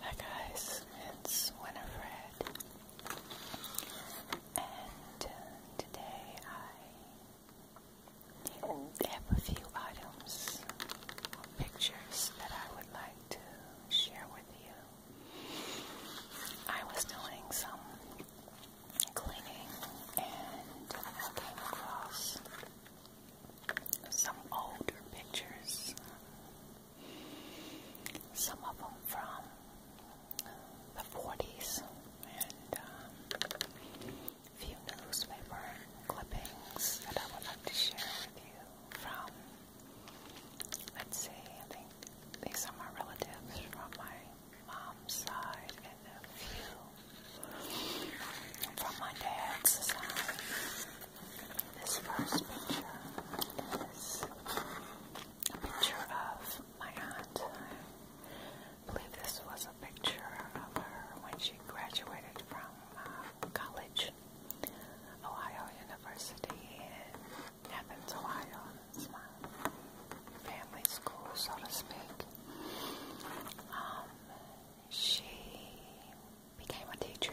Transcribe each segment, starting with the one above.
Hi guys, it's Winifred, and uh, today I have a few items or pictures that I would like to share with you. I was doing some cleaning and I came across some older pictures some of them from the 40s, and um, a few newspaper clippings that I would like to share with you from, let's see, I think these are my relatives from my mom's side and a few from my dad's side. This first picture is a picture of my aunt. I believe this was a picture of her when she graduated from uh, college, Ohio University in Athens, Ohio. It's my family school, so to speak. Um, she became a teacher,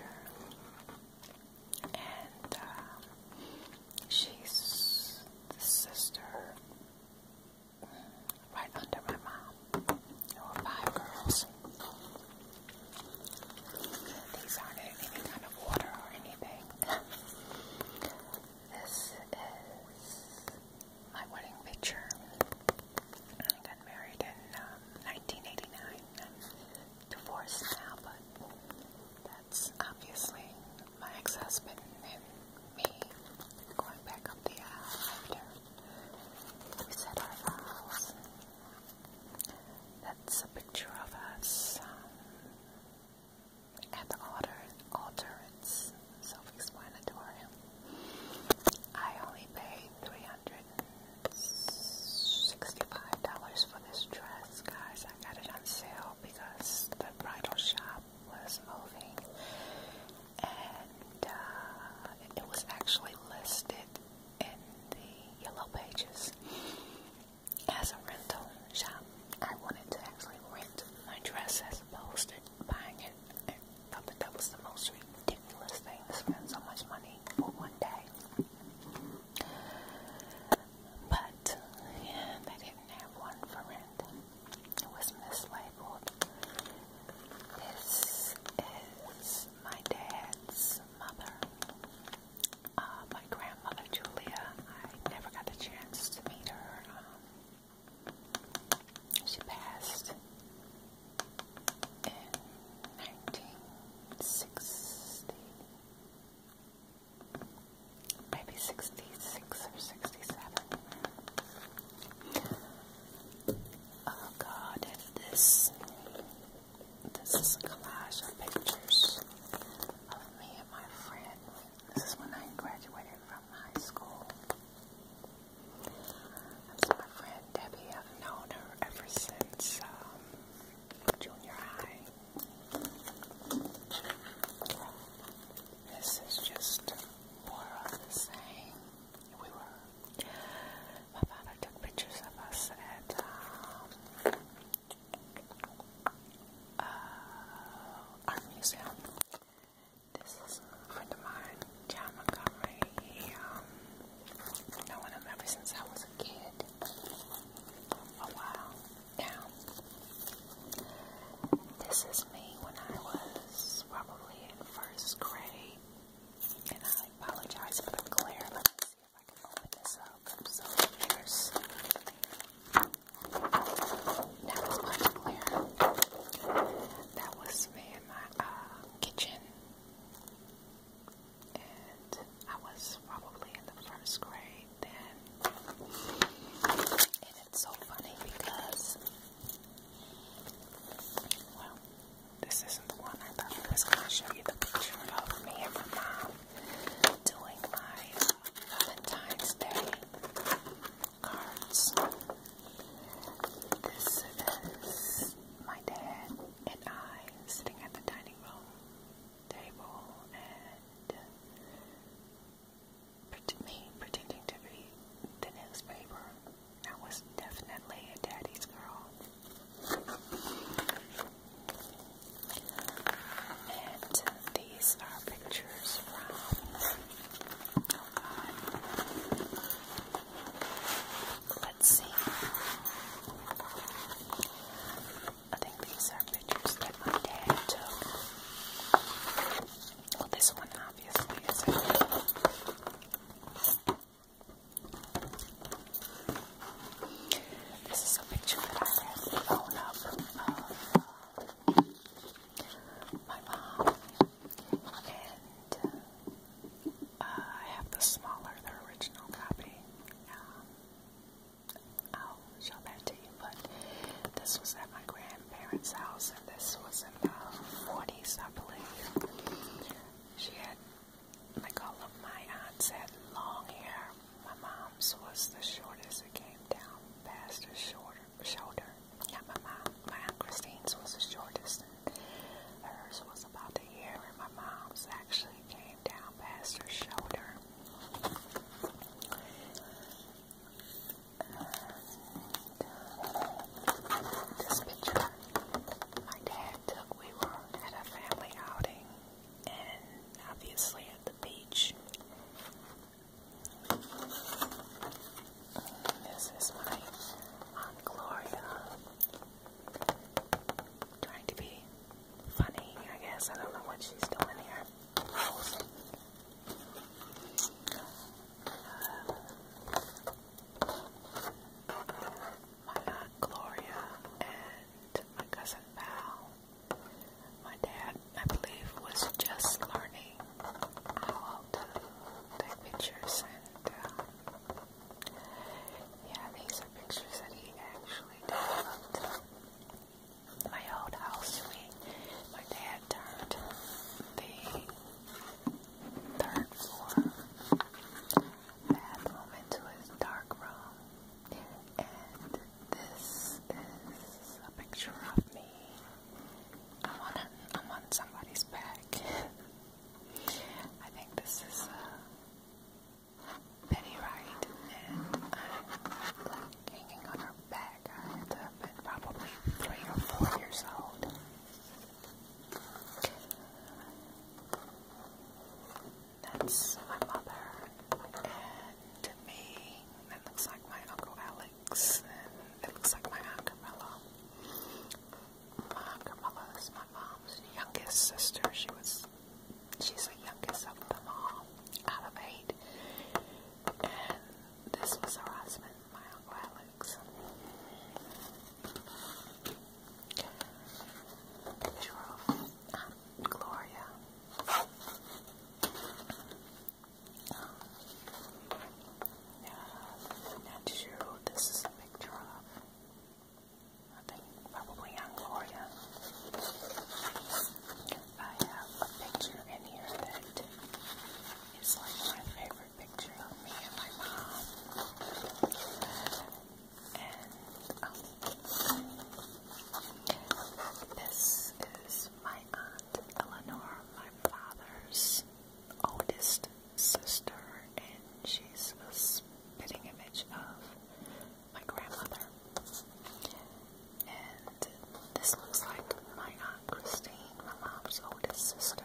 and um, she's the sister mm, right under my mom. There were five girls. These aren't any kind of order or anything. this is my wedding picture. I got married in 1989. Um, divorced now, but that's obviously my ex-husband and me going back up the aisle we said our vows. That's a picture of us um, at the altar. altar. self-explanatory. I only paid three hundred $65 for this dress, guys. I got it on sale because the bridal shop was moving and uh, it was actually listed in the yellow pages as a rental shop. I wanted to actually rent my dress as opposed to buying it. I thought that that was the most ridiculous thing to spend so much money for one day. But yeah, didn't have one for rent. It was mislabeled. This is my dad's mother, uh, my grandmother Julia. I never got the chance to meet her. Um, she passed in 1960, maybe 66 or 67. Oh God, if this, this is a collage of pictures of me and my friend. This is when I graduated from high school. That's my friend Debbie. I've known her ever since um, junior high. this is just more of the same. We were. My father took pictures of us at. Um, museum. This is a of mine, John Montgomery. Um, I want to remember since I was a kid. Oh wow. Now, this is me when I was probably in first grade. And I apologize for the glare. Let me see if I can open this up. so fierce. Now it's much clearer. That was me in my uh, kitchen and I was probably in the first grade then. And it's so funny because, well, this isn't the one I thought was going to show you the picture of me and my mom doing my Valentine's Day cards. This is my dad and I sitting at the dining room table and me pretending to be the newspaper. I was definitely a daddy's girl. And these are pictures from, oh God, let's see. I think these are pictures that my dad took. Well, this one obviously is This is a picture that I have blown up of uh, my mom and uh, uh, I have the smaller, the original copy. Um, I'll show that to you, but this was at my grandparents' house, and this was in the 40s, I believe. She had, like all of my aunts had long hair. My mom's was the shortest. It came down past her shorter, shoulder. Yeah, my mom, my Aunt Christine's was the shortest. Hers was about a year, and my mom's actually came down past her shoulder. Uh, this picture my dad took, we were at a family outing and obviously at the beach. This is my Aunt Gloria trying to be funny, I guess. I don't know what she's doing here. My aunt Gloria and my cousin Val. My dad, I believe, was just learning how to take pictures and uh, yeah, these are pictures that he actually developed. My old house, we, my dad turned the third floor bathroom into his dark room. And this is a picture of me. I'm on, somebody's back. I think this is uh, Penny Wright and I'm uh, like hanging on her back. I had to have been probably three or four years old. That's my mother. And to me, that looks like my Uncle Alex. And it looks like my Aunt Camilla. My Aunt Carmela is my mom's youngest sister. She was she's the youngest of them all, out of eight. And this was her husband, my Uncle Alex. Picture um, Gloria. Um, uh, this is a picture of. I think probably on Gloria. I have a picture in here that is like my favorite picture of me and my mom. And um, this is my aunt Eleanor, my father's oldest sister, and she's a spitting image of my grandmother. And this looks like my Aunt Christine, my mom's oldest sister.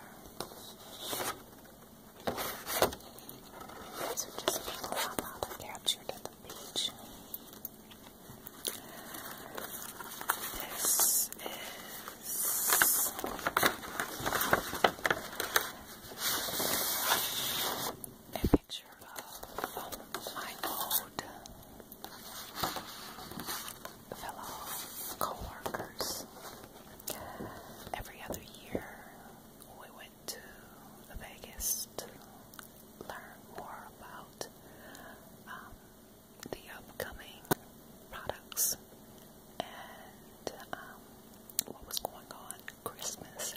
These are just people my mother captured at the beach. This is a picture of my old fellow co Every other year we went to Vegas to learn more about um, the upcoming products and um, what was going on Christmas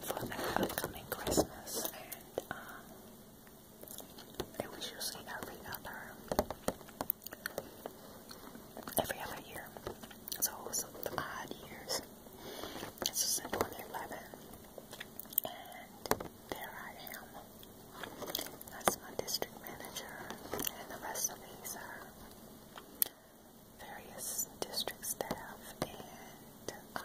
for the upcoming Christmas, and uh, it was usually every other, every other year. So it was the odd years. This is in and there I am. That's my district manager, and the rest of these are various district staff and um,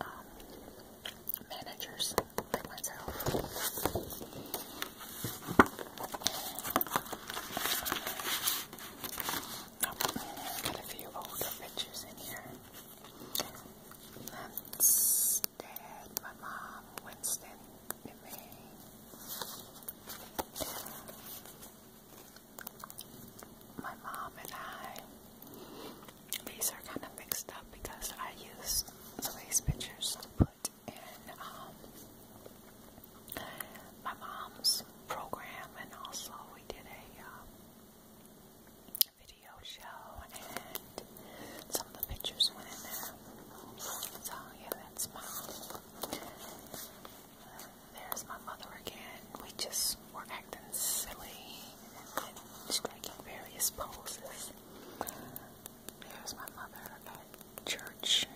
um, managers like myself. got a few older pictures in here. That's Dad, my mom, Winston, memory. My mom and I, these are kind of mixed up because I used some of these pictures to put in um, my mom's program, and also we did a uh, video show, and some of the pictures went in there. So, yeah, that's mine. There's my mother again. We just were acting silly and striking various poses. There's my mother at church.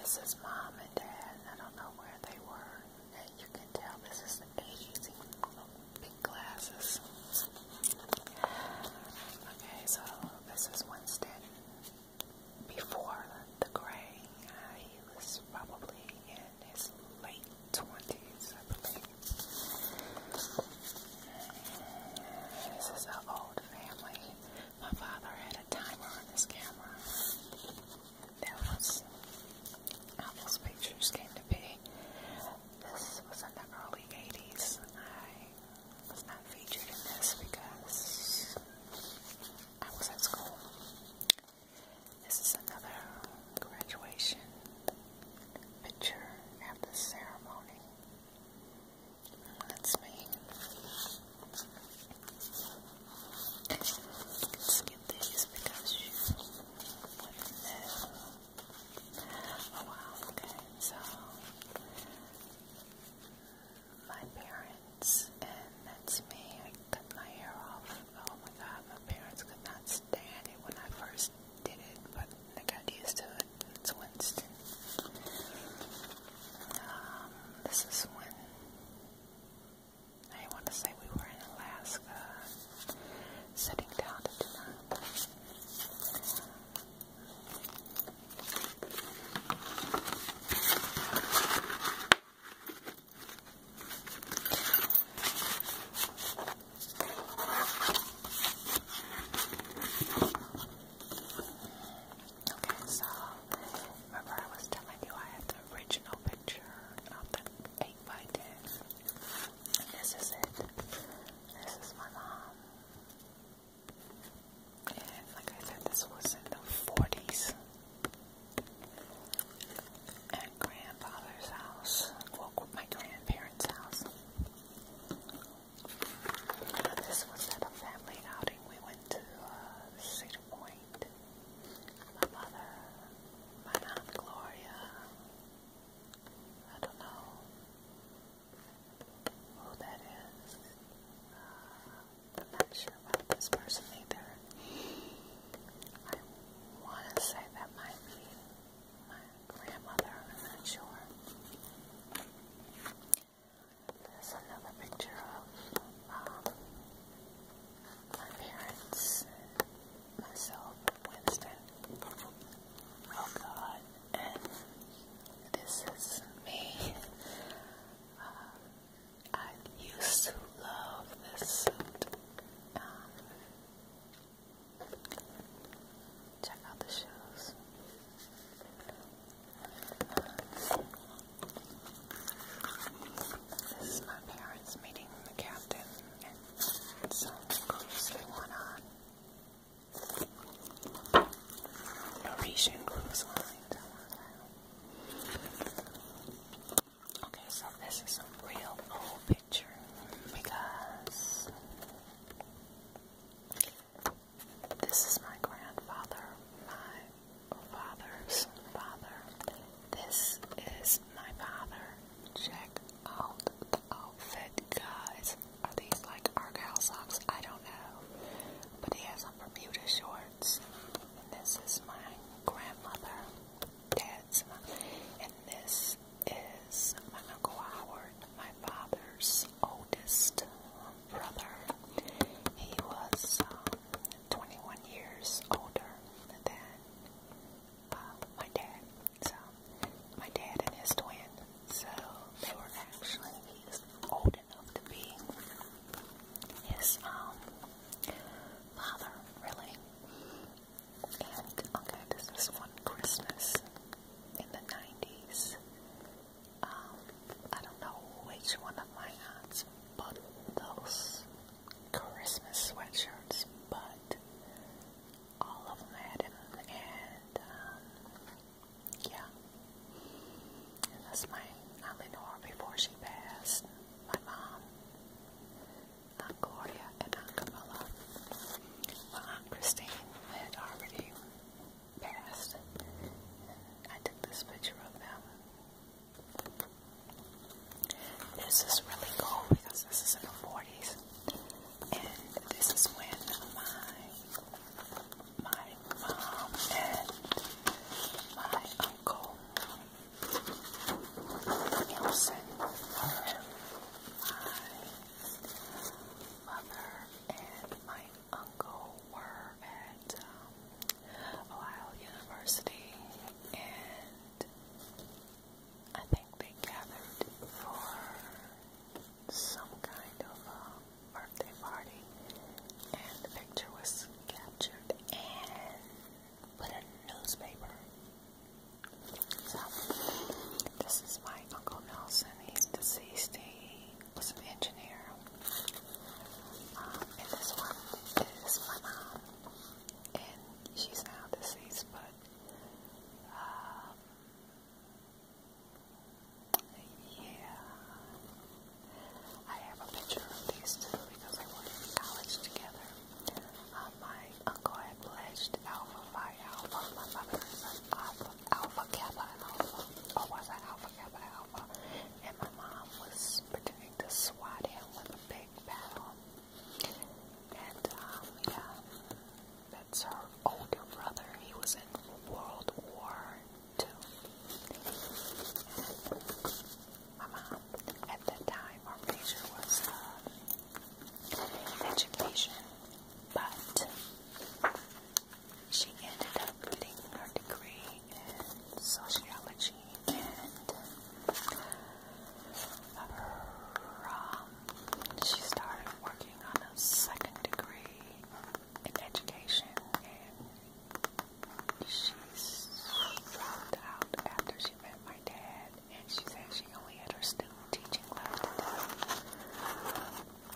This is mom and dad. I don't know where they were. And you can tell this is the 80s glasses. Okay, so this is Winston. Before the gray, uh, he was probably in his late 20s, I believe. This is an old family. My father had a timer on this camera. That was how those pictures came to be. This was in the early 80s. I was not featured in this because I was at school. This is another graduation picture at the ceremony. That's me. Let's get these because you would Oh wow, okay, so my parents, and that's me, I cut my hair off. Oh my god, my parents could not stand it when I first did it, but I got used to it. It's Winston. Um, this is when I want to say we were in Alaska, sitting down to dinner. Okay, so remember I was telling you I had the original picture of the 8 by 10 this is it. This is my mom. And like I said, this was in the 40s. At grandfather's house, my grandparents' house. This was at a family outing. We went to uh, Cedar Point. My mother, my aunt Gloria, I don't know, who that is. Uh, I'm not sure about this person either. I want to say that might be my grandmother. I'm not sure. There's another picture of um, my parents, myself, Winston. Oh God and this is me. Um, I used to love this um, check out the shoes. this is my parents meeting the captain and some cruise they went on. Norwegian Cruise Line. Okay, so this is a real old picture because this is my grandfather, my father's father. This is my father, Jack on the outfit, guys. Are these like Argyle socks? I don't know. But he has on Bermuda shorts. And this is my grandmother. Dad's mother. And this is my Uncle Howard, my father's oldest um, brother. He was um, 21 years older than uh, my dad. So, my dad and his twin, so they were actually, he's old enough to be his um, father, really. And, okay, this is one Christmas in the 90s. Um, I don't know which one of my aunts but those Christmas sweatshirts, but all of them at him, and yeah. And that's my, I only before she passed, my mom, Aunt Gloria, and Aunt Camilla. My Aunt Christine had already passed, I took this picture of them. This is really cool because this is in the 40s and this is when my my mom and my uncle Nielsen my mother and my uncle were at um, Ohio University and I think they gathered for some kind of birthday party, and the picture was captured and put in newspaper. So, this is my Uncle Nelson. He's deceased. He was an engineer. Um, and this one is my mom. And she's now deceased, but uh, yeah. I have a picture of these two because I went to college together. Uh, my uncle had pledged Alpha Phi Alpha. My mother is an Alpha, Alpha Kappa Alpha. Or was I Alpha Kappa Alpha? And my mom was pretending to swat him with a big paddle. And, um, yeah. That's her older brother. He was in World War Two. My uh-huh. at that time, her major was uh, education, but she ended up getting her degree in sociology and uh, her um, she started working on a second degree in education and she's dropped out after she met my dad and she said she only had her student teaching left.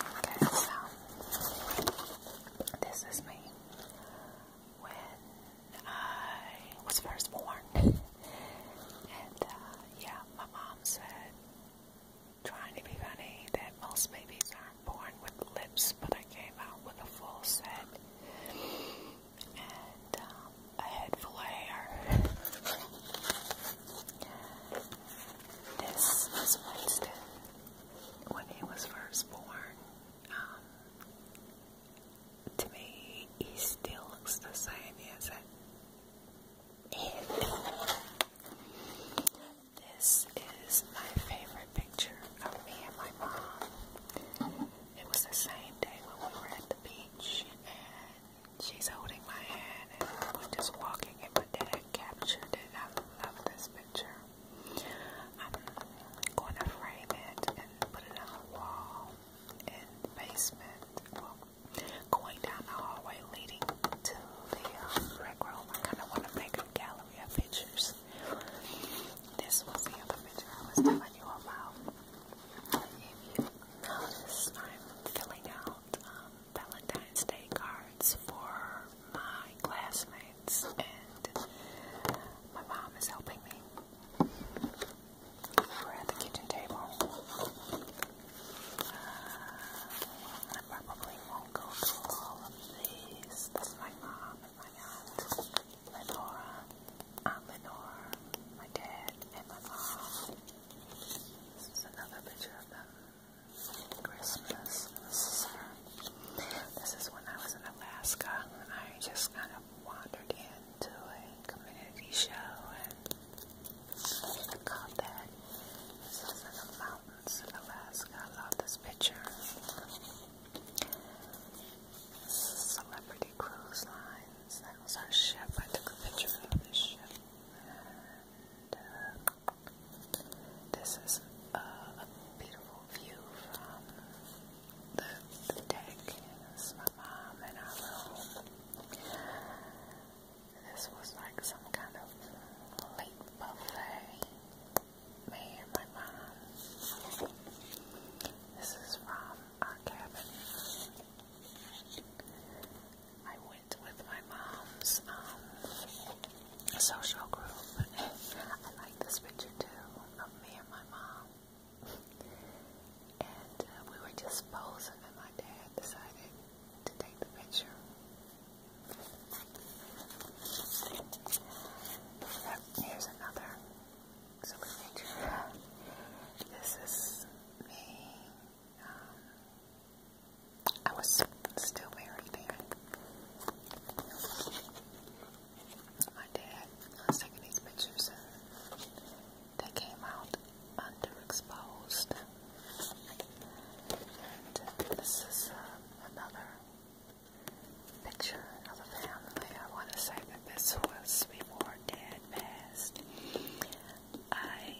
Okay, so this is me when I was first born and uh, yeah, my mom said trying to be funny that most babies aren't born with lips, but I came out with a full set and um, a head full of hair. this is Winston when he was first born. Um, to me, he still looks the same as it. This is my favorite picture of me and my mom. It was the same day when we were at the beach and she's holding my hand and we're just walking and my dad captured it. I love this picture. I'm going to frame it and put it on a wall in the basement going down the hallway leading to the uh, rec room. I kind of want to make a gallery of pictures. This was the other picture I was telling you about. If you notice, I'm filling out um, Valentine's Day cards for my classmates, and my mom is helping me. We're at the kitchen table. Uh, probably won't go through all of these. That's my mom and my aunt, Lenora, Aunt Lenore, my dad, and my mom. This is another picture of them. Christmas. This is her. Uh, this is when I was in Alaska and I just kind of wandered into a community show and I got This is the mountains in Alaska. I love this picture. This is Celebrity Cruise Lines. That was our ship. I took a picture of this ship. this is a beautiful view from the, deck. This is my mom and I. This was like some kind of late buffet made by mom. This is from our cabin. I went with my mom's um, social group. I like this picture too of me and my mom. And uh, we were just posing, and my dad decided to take the picture. Yep, here's another super picture. This is me. Um, I was still married then. My dad was taking these pictures they came out underexposed. And this is uh, another picture of a family. I want to say that this was before Dad passed. I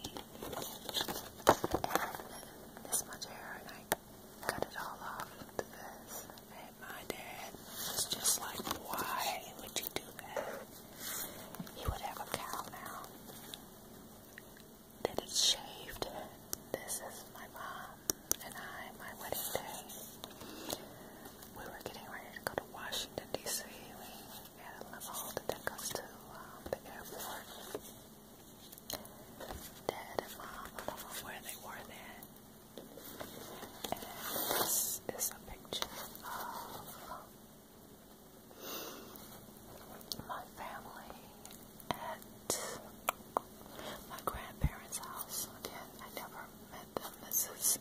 this much hair and I cut it all off to this. And my dad was just like, why would you do that? He would have a cow now. That it's shaved. This is my mom and I, my wedding day. We were getting ready to go to Washington, D.C. We had a limo to take us to the airport. Dad and mom, I where they were then. And this is a picture of my family at my grandparents' house. Again, I never met them. This is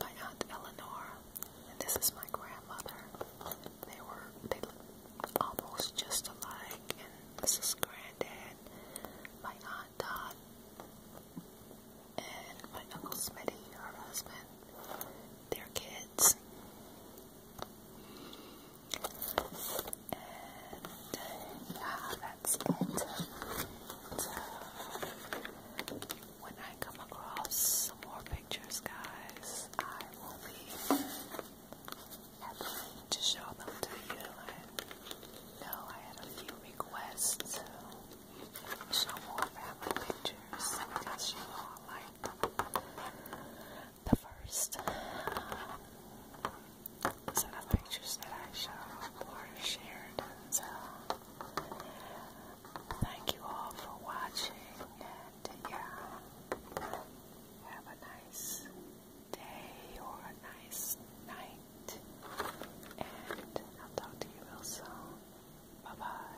my aunt Eleanor, and this is my grandmother. They were they looked almost just alike, and this is granddad, my aunt Dot, and my uncle Smitty, her husband, their kids. And yeah, that's it. So, when I come across some more pictures, guys, I will be happy to show them to you. I know I had a few requests to show more family pictures because you all like the first uh, set of pictures that I showed or shared. So, thank you all for watching, and yeah, have a nice day or a nice night, and I'll talk to you real soon. Bye bye.